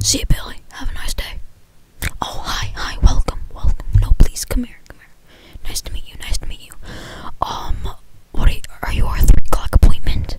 See you, Billy. Have a nice day. Oh, hi, hi. Welcome, welcome. No, please, come here, come here. Nice to meet you, nice to meet you. Um, what are you, are you our three o'clock appointment?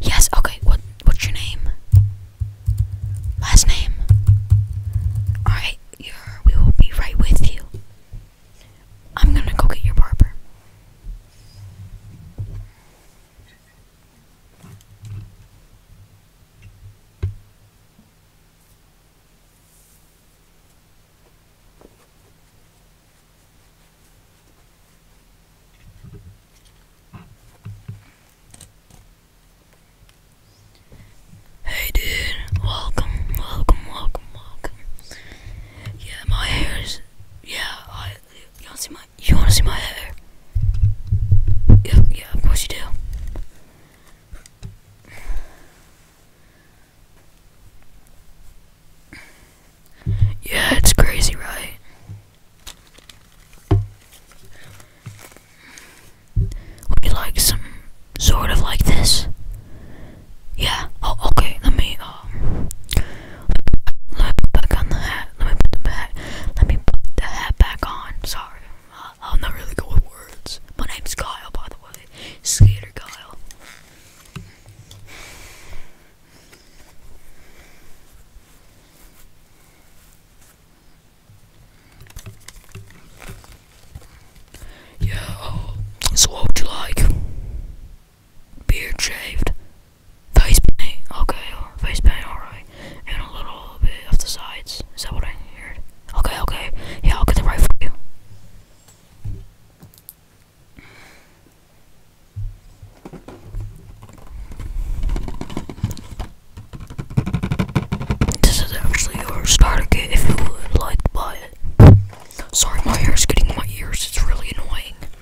Yes, okay. What, what's your name? Last name. All we will be right with you. I'm gonna go get your barber. Hey dude, welcome, welcome, welcome, welcome. Yeah, my hair's yeah, you wanna see my? You wanna see my hair? Yeah, of course you do. Yeah, it's crazy, right? Would you like some sort of like this? Yeah. Oh, okay. Let me. Um, let me put back on the hat. Let me put the back. Let me put the hat back on. Sorry, I'm not really good with words. My name's Kyle, by the way. Skater Kyle. Yeah. So what would you like? beard shaved, face paint, okay, uh, face paint, alright, and a little bit of the sides. Is that what I heard? Okay, okay, yeah, I'll get the right for you. This is actually your starter kit if you would like to buy it. Sorry, my hair is getting in my ears, it's really annoying.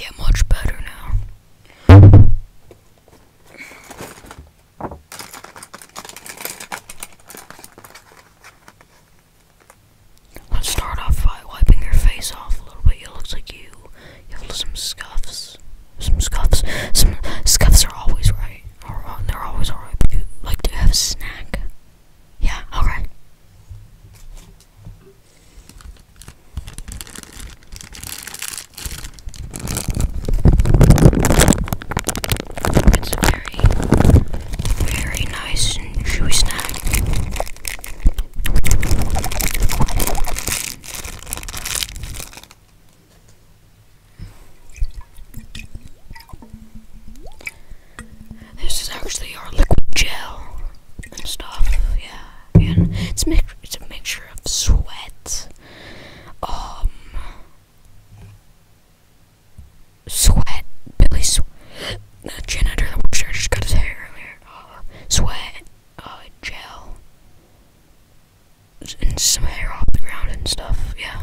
Yeah, much better now. Let's start off by wiping your face off a little bit. It looks like you have some scuffs. Some scuffs. Some scuffs are always right. Or they're always alright, but you have a snack. Yeah, All right. It's a very, very nice chewy snack. This is actually our liquid gel and stuff, yeah. And it's, mi it's a mixture of sweat, um, sweat, Billy, sw the janitor that works just got his hair earlier, uh, sweat, uh, gel, and some hair off the ground and stuff, yeah.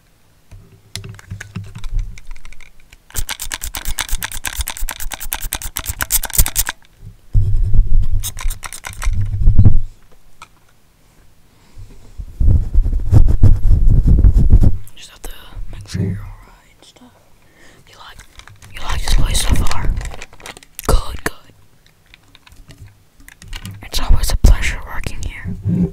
Just have to make sure you're alright and stuff. You like you like this place so far? Good, good. It's always a pleasure working here.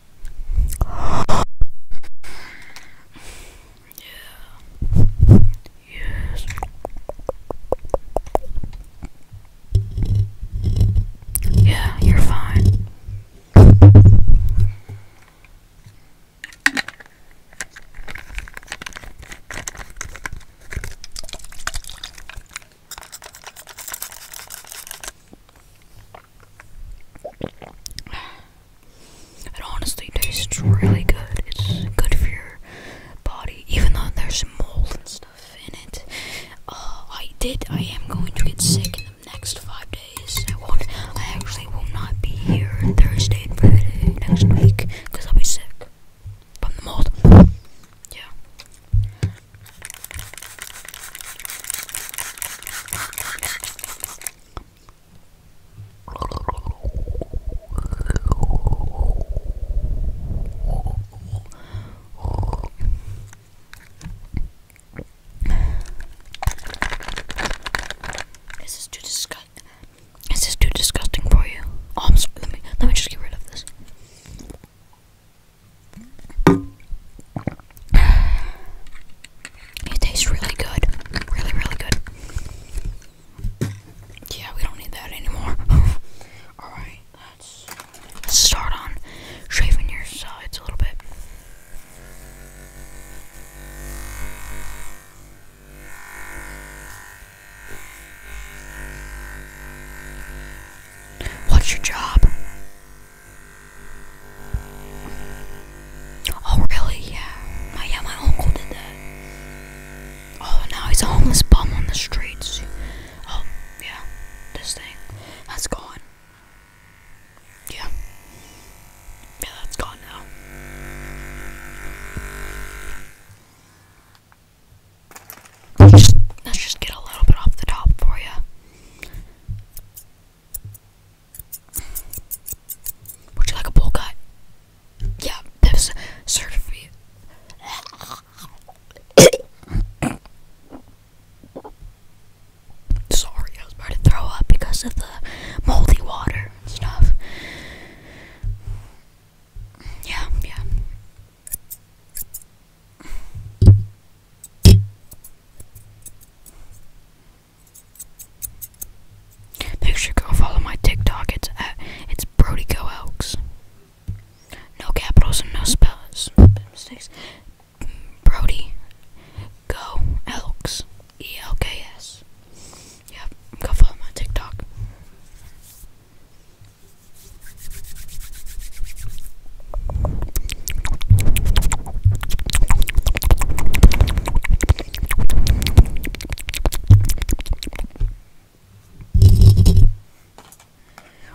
Yeah. Yes. Yeah, you're fine. It honestly tastes really good. It's good for your body, even though there's mold and stuff in it. Uh, I did. I am going to get sick in the next five days. I won't. I actually will not be here Thursday and Friday next week because I'll be sick from the mold. Yeah. This is too disgusting. This is too disgusting for you. Oh, I'm sorry. Let me let me just get rid of this. It tastes really good. Really, really good. Yeah, we don't need that anymore. Alright, let's start on shaving your sides a little bit. What's your job? Oh, really? Yeah. yeah, my uncle did that. Oh, now he's a homeless bum on the streets. Oh, yeah. This thing. That's gone. Yeah. Yeah, that's gone now. Let's just, get a little bit off the top for you. Would you like a bowl cut? Yeah, this certificate. Sorry, I was about to throw up because of the moldy water and stuff. Yeah, yeah. Make sure you go follow my TikTok. It's at it's Brody Go Elks. No capitals and no spells mistakes. Brody Go Elks. E L K S. Yep, go follow my TikTok.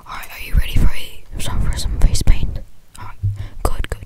Alright, are you ready for a song for some face paint? Alright, good, good.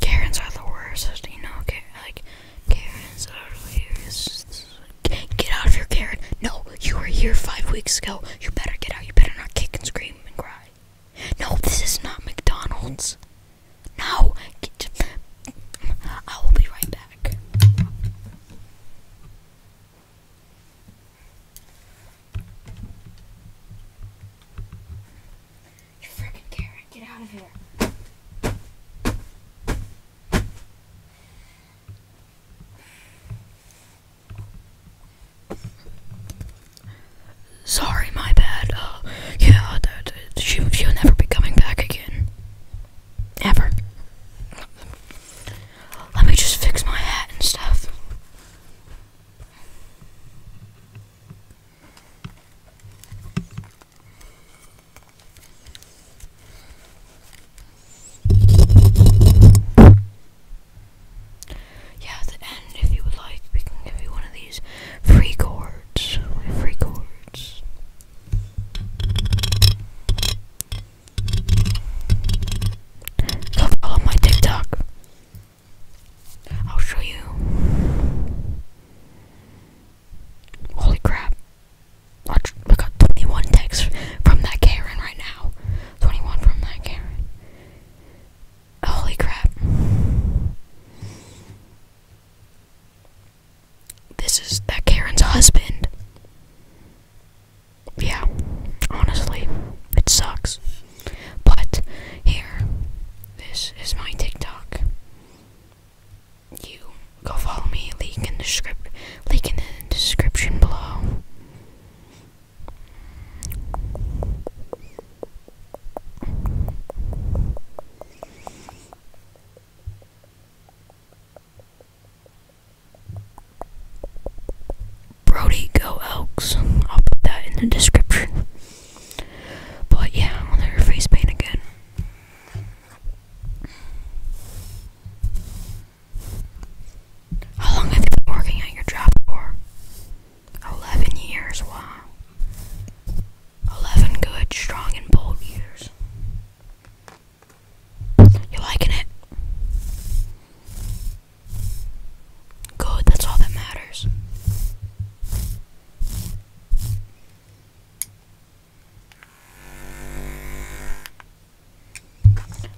Karens are the worst, you know. Like Karens are the worst. Get out of here, Karen. No, you were here five weeks ago. You better get out. You better not kick and scream and cry. No, this is not McDonald's. No, get, I will be right back. You freaking carrot, get out of here. Sorry, my bad. Uh, yeah, that, uh, she, she'll never be coming back again. Ever. Let me just fix my hat and stuff. Yeah, the end, if you would like, we can give you one of these free cords. free cords. Go follow my TikTok. I'll show you. Holy crap. Watch, I got 21 texts from that Karen right now. 21 from that Karen. Holy crap. This is that Karen's husband. Yeah, honestly, it sucks. But here, this is my TikTok. You go follow me. Link in the script. Link in the description below. Brody Go Elks. I'll put that in the description. But yeah, their face paint again. How long have you been working at your job for? Eleven years, wow. Eleven good, strong, and bold years. You liking it? Good, that's all that matters.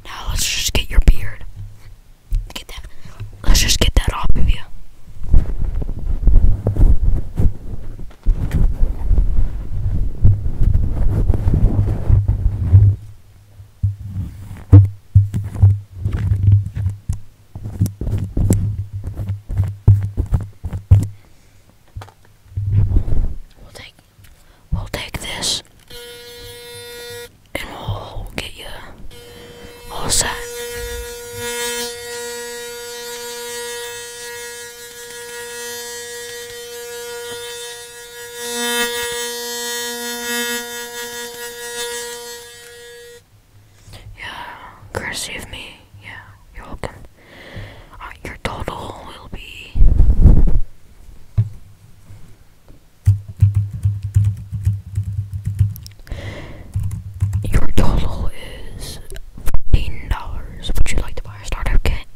Now let's just get your beard. Get that. Let's just get that off of you. We'll take we'll take this and we'll get you all set. Yeah, courtesy of me. Yeah, you're welcome. Uh, your total will be. Your total is $15. Would you like to buy a starter kit?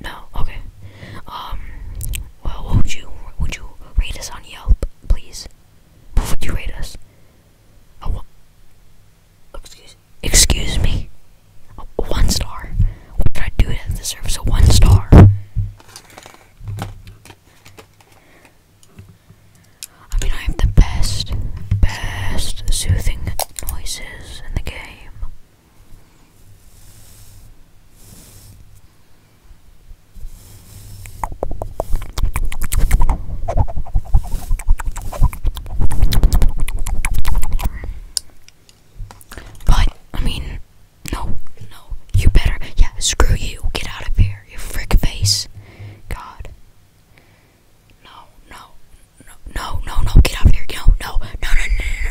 No. Okay. Um. Well, would you would you rate us on Yelp, please? would you rate us? Excuse. me. one star. What did I do to deserve a one star? I mean, I have the best, best soothing noises in the game. But I mean, no, no, you better, yeah, screw you, get out of here, you frick face, God, no, no, no, no, no, no, get out of here, no, no, no, no, no,